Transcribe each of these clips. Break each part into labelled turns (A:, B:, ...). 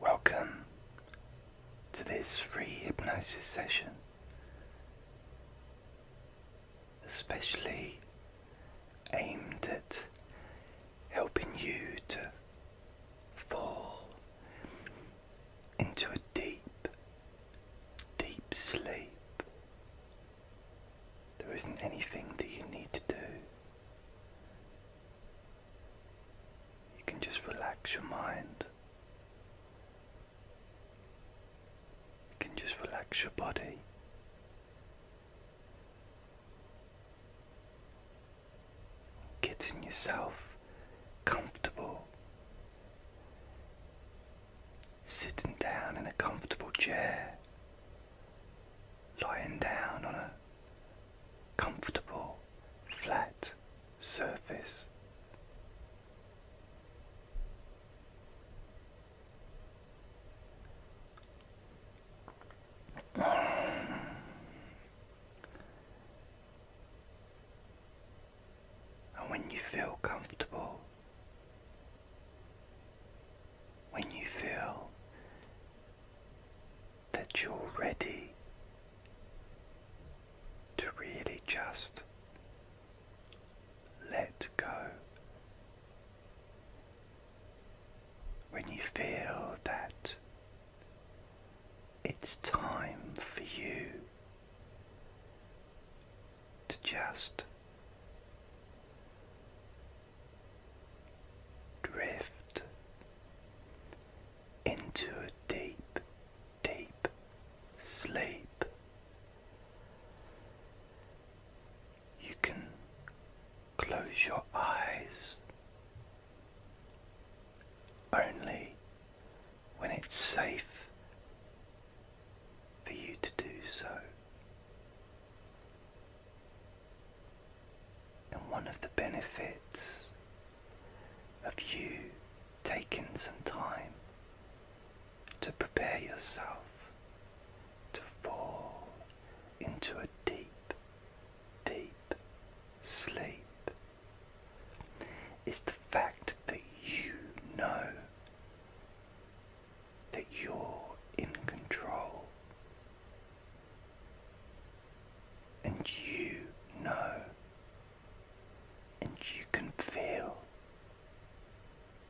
A: Welcome to this free hypnosis session, especially aimed at helping you to fall into a deep, deep sleep. There isn't anything that you need to do. You can just relax your mind. You can just relax your body. Getting yourself comfortable. Sitting down in a comfortable chair. Lying down on a comfortable, flat surface. And when you feel comfortable, when you feel that you're ready to really just let go. When you feel that it's time for you to just drift into a deep, deep sleep. You can close your eyes only when it's safe for you to do so. And one of the benefits of you taking some time to prepare yourself to fall into a deep, deep sleep is the fact that you know that you're in control and you know and you can feel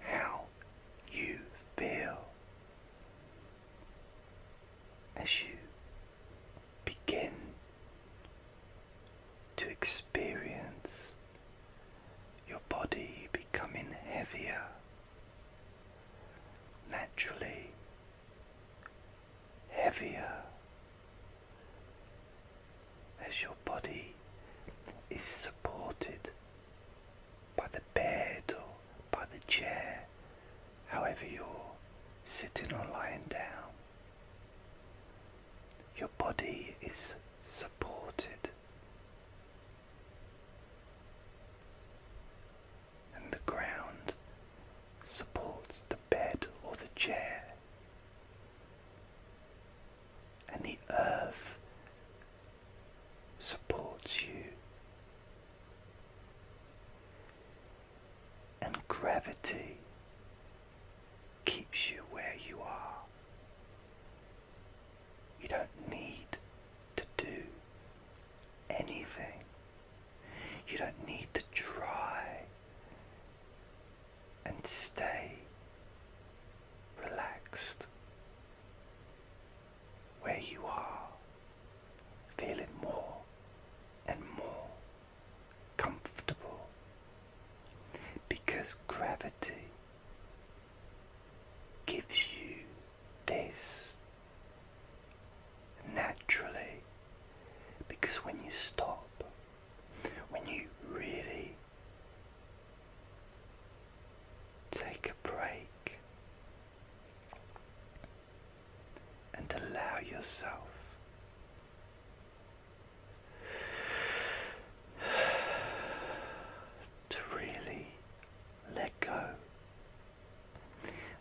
A: how you feel as you begin to experience your body becoming heavier naturally heavier as your body is supported by the bed or by the chair, however you're sitting or lying down. Your body is supported and the ground supports the bed or the chair. And the earth supports you. And gravity keeps you where you are. You don't need to do anything. You don't need to try and stay relaxed where you are, Feel it more and more comfortable because gravity gives you this naturally because when you stop, when you really take a break and allow yourself to really let go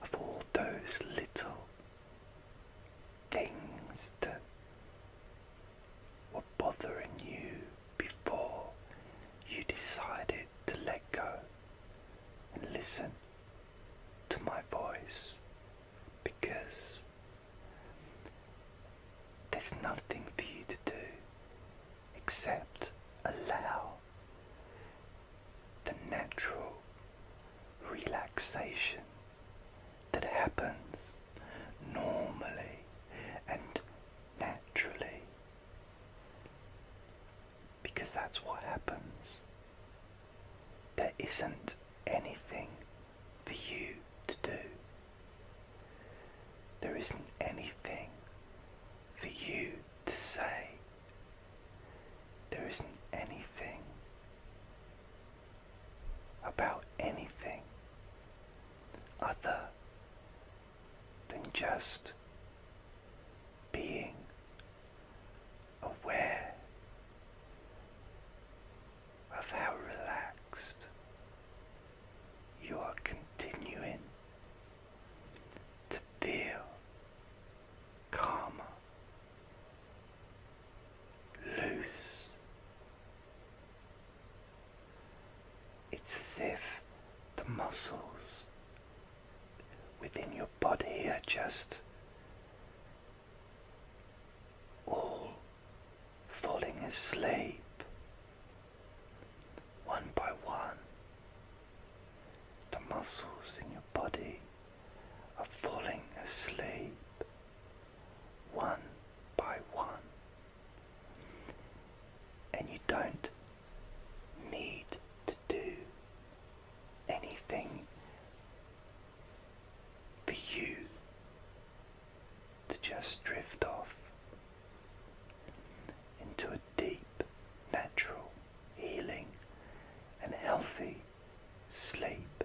A: of all those little things that were bothering you before you decided to let go and listen to my voice because there's nothing for you to do except allow the natural relaxation that happens normally and naturally because that's what happens. There isn't anything for you to do. There isn't anything for you to say. There isn't anything about anything other than just being aware of how relaxed you are continuing to feel Calm. Loose. It's as if the muscles within your body are just all falling asleep one by one the muscles in your body are falling asleep one by one, and you don't need to do anything for you to just drift off into a deep, natural, healing, and healthy sleep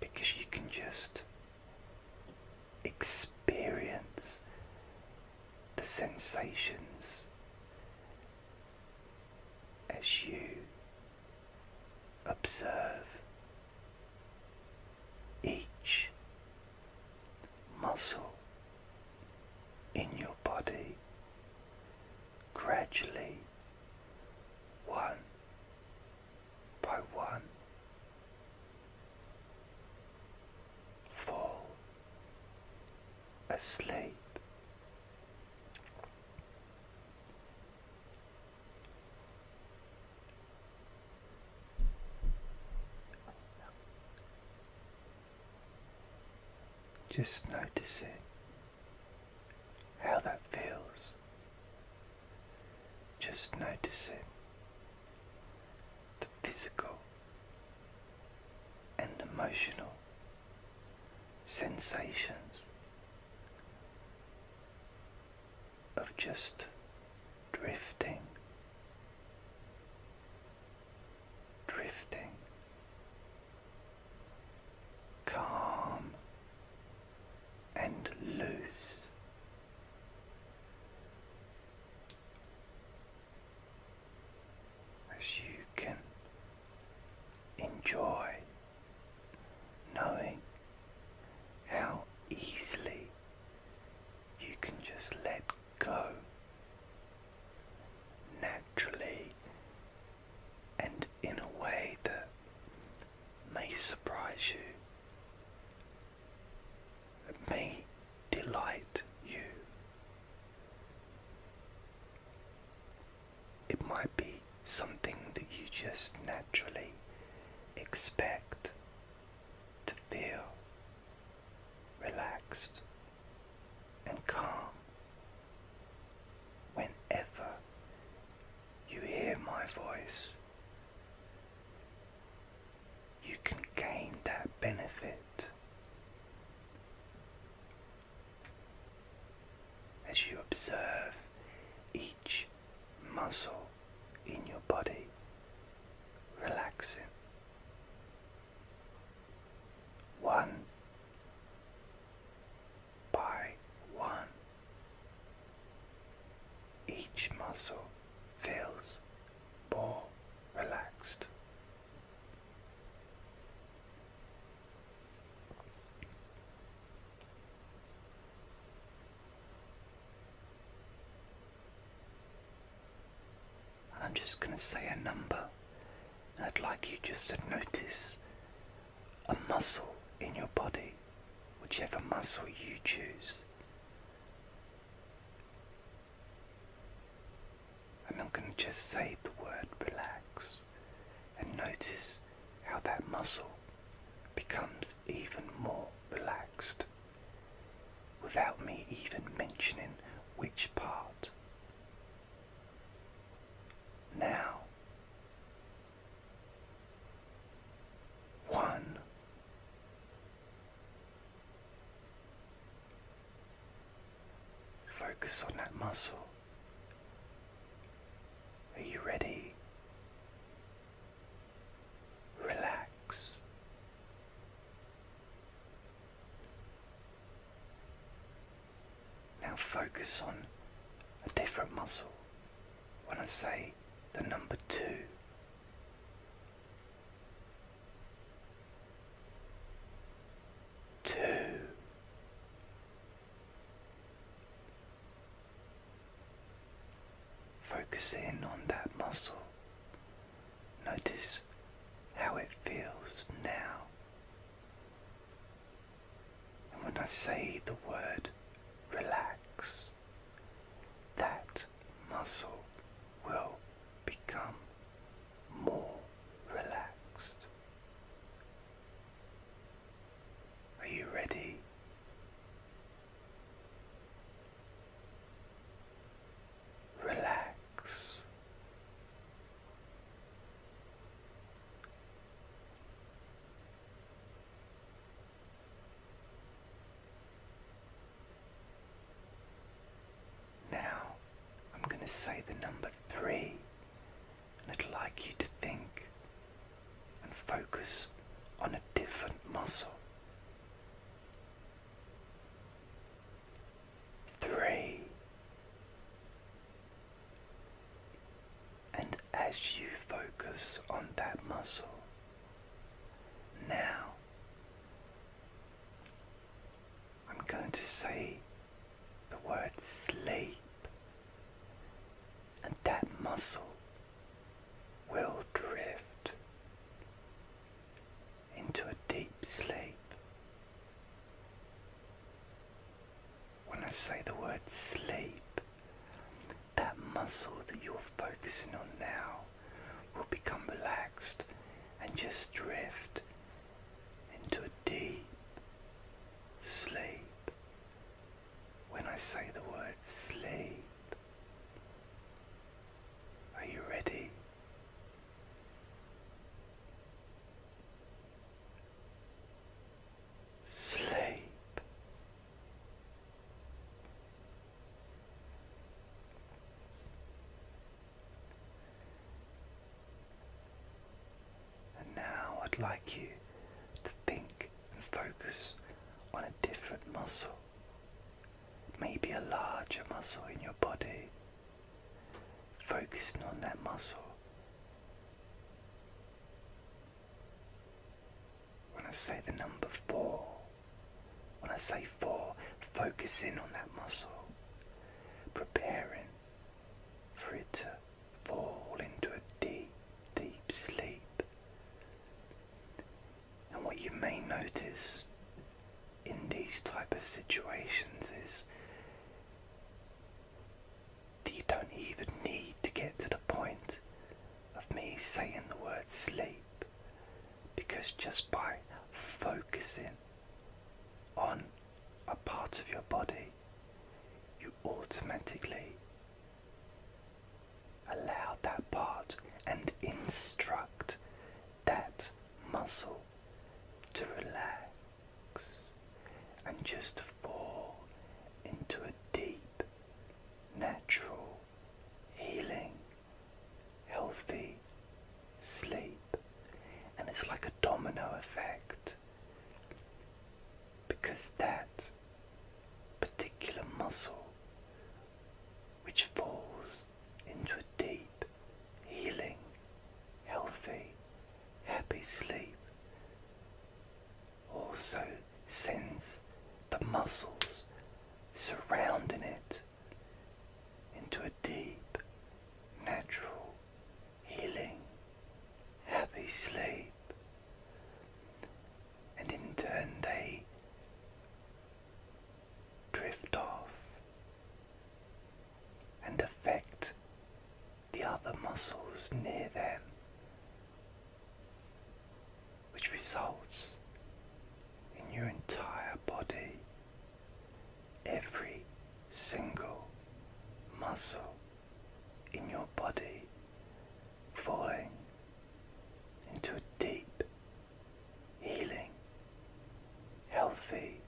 A: because you can just experience the sensations as you observe each muscle in your body gradually, one by one, fall asleep. Just noticing how that feels. Just noticing the physical and emotional sensations of just drifting drifting, calm and loose. As you can enjoy knowing how easily you can just let go naturally and in a way that may surprise you, may delight you. It might be something that you just naturally expect to feel relaxed, and calm. Whenever you hear my voice, you can gain that benefit as you observe each muscle in your body relaxing one by one. Each muscle feels more relaxed. I'm just going to say a number, and I'd like you just to notice a muscle in your body, whichever muscle you choose. And I'm going to just say the word relax and notice how that muscle becomes even more relaxed without me even mentioning which part. Now, one, focus on that muscle. Are you ready? Relax. Now focus on a different muscle. When I say the number two, two, focus in on that muscle Notice how it feels now. And when I say the word relax, that muscle will become more relaxed. Are you ready? relax. Now, I'm going to say the number three, and I'd like you to think and focus on a different muscle three. And as you focus on that muscle, now I'm going to say the word sleep, and that muscle will drift into a deep sleep. When I say the word sleep, that muscle that you're focusing on now will become relaxed and just drift into a deep sleep. When I say the word sleep, are you ready? Sleep. And now I'd like you to think and focus on a different muscle, maybe a larger muscle in your body focusing on that muscle. When I say the number four, when I say four, focus in on that muscle, preparing for it to fall into a deep, deep sleep. And what you may notice in these type of situations is you don't even need to get to the point of me saying the word sleep because just by focusing on a part of your body you automatically allow that part and instruct that muscle to relax and just fall into a deep, natural, healing, healthy sleep. And it's like a domino effect because that particular muscle which falls into a deep, healing, healthy, happy sleep. Also sends the muscles surrounding it into a deep, natural, healing, happy sleep. And in turn, they drift off and affect the other muscles near them, which results in your entire body, every single muscle in your body falling into a deep healing, healthy,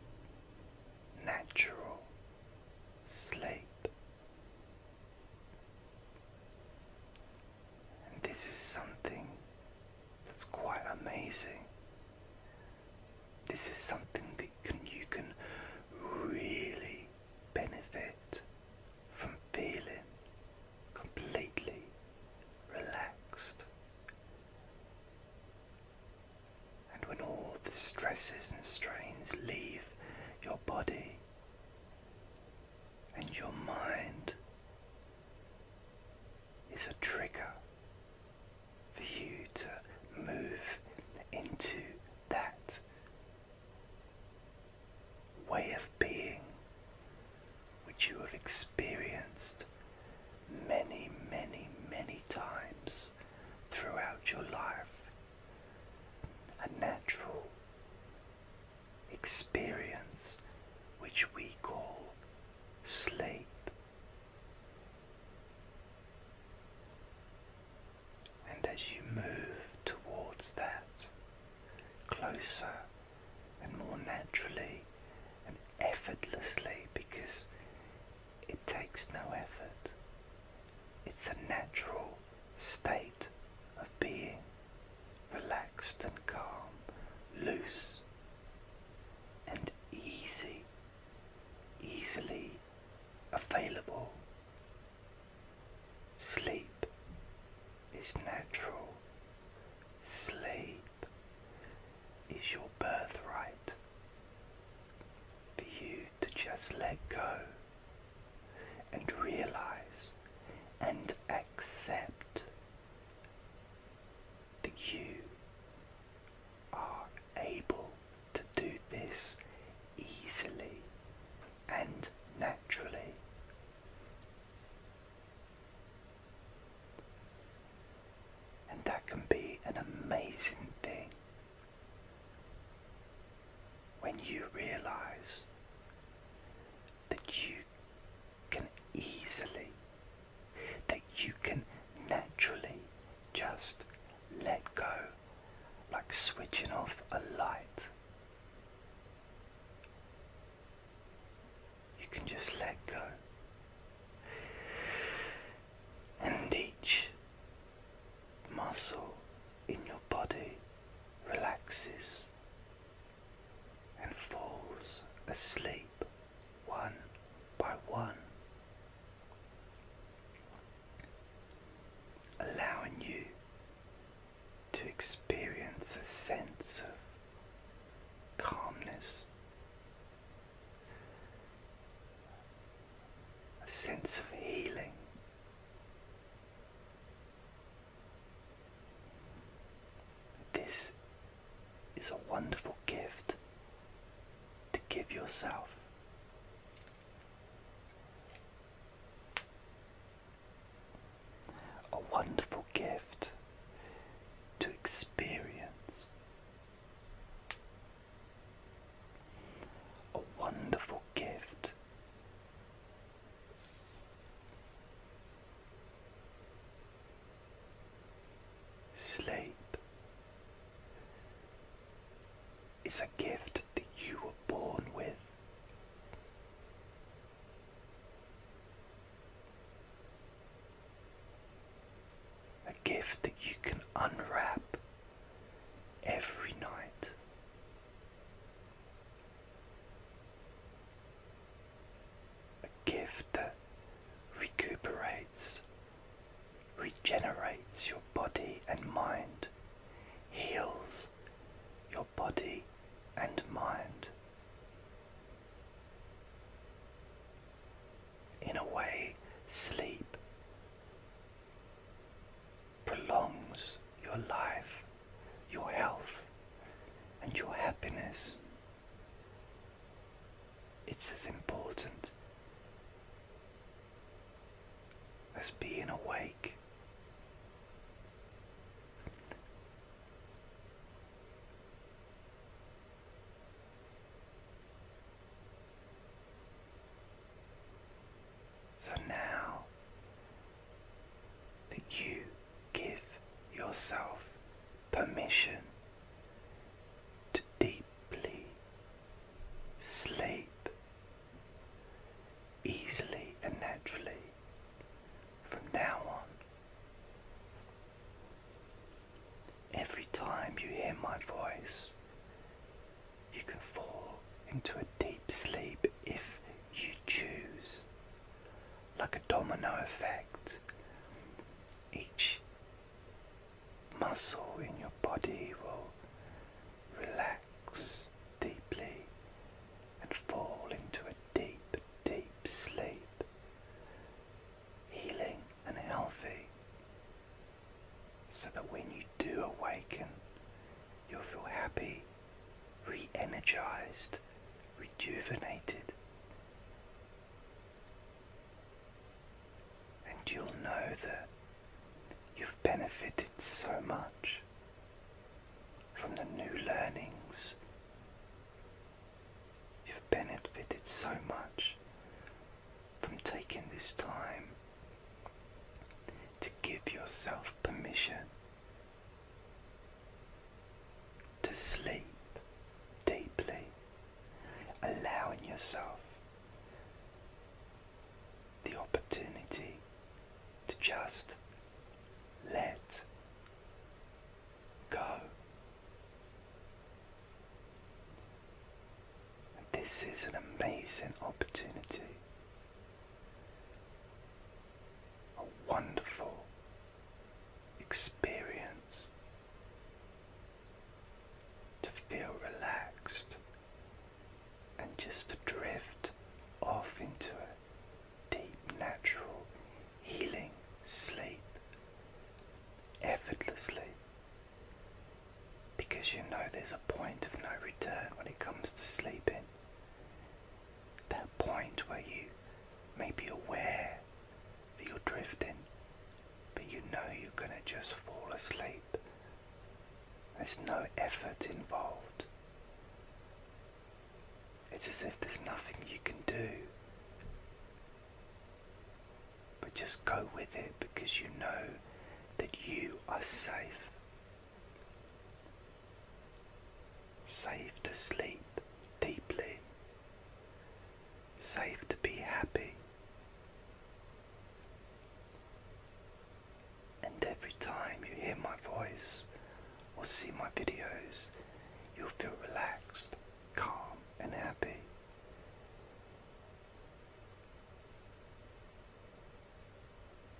A: natural sleep. And this is something that's quite amazing. This is something that can, you can really benefit from feeling completely relaxed and when all the stresses and strains leave your body and your mind is a trigger for you to move into that way of being which you have experienced many, many, many times throughout your life. A natural experience which we call sleep. And as you move towards that, closer and more naturally, and effortlessly because it takes no effort. It's a natural state of being, relaxed and calm, loose and easy, easily available. Sleep is natural. Sleep is your birthright. For you to just let go and realize and accept that you are able to do this easily and naturally. And that can be an amazing thing when you realize that you can easily, that you can naturally just let go, like switching off a light you can just let go. And each muscle in your body relaxes and falls asleep one by one, allowing you to experience a sense of calmness a sense of healing. This is a wonderful gift to give yourself. A wonderful gift to experience a wonderful gift. Sleep is a gift that you were born with. A gift that you can unwrap every night. A gift that recuperates, regenerates your body and mind, heals your body and mind in a way, sleep prolongs your life, your health, and your happiness. It's as important as being awake. So now that you give yourself permission to deeply sleep easily and naturally from now on. Every time you hear my voice, you can fall into a deep sleep if you choose. Like a domino effect, each muscle in your body will relax deeply and fall into a deep, deep sleep healing and healthy, so that when you do awaken, you'll feel happy, re energized, rejuvenated. And you'll know that you've benefited so much from the new learnings You've benefited so much from taking this time to give yourself permission to sleep deeply, allowing yourself the opportunity to just let go. this is an amazing opportunity, a wonderful experience to feel relaxed and just to drift off into a deep, natural, healing sleep effortlessly because you know there's a point of no return when it comes to sleeping. That point where you may be aware that you're drifting, but you know you're going to just fall asleep. There's no effort involved. It's as if there's nothing you can do. But just go with it because you know that you are safe. Safe to sleep deeply. Safe to be happy. And every time you hear my voice or see my videos, you'll feel relaxed, calm, and happy.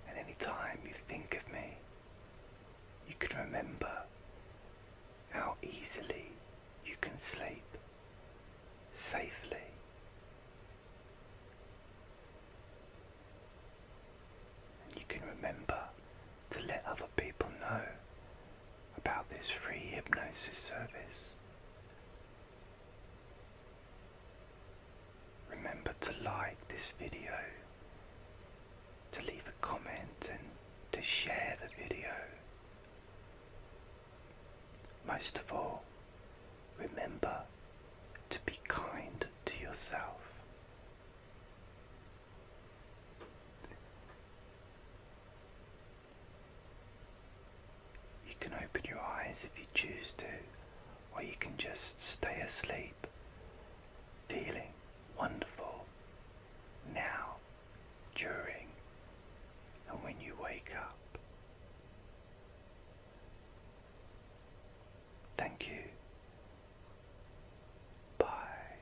A: And any time you think of me, you can remember how easily you can sleep safely. And you can remember to let other people know about this free hypnosis service. Remember to like this video, to leave a comment and to share the video. Most of all, remember to be kind to yourself. You can open your eyes if you choose to, or you can just stay asleep, feeling wonderful now, during, and when you wake up. Thank you. Bye.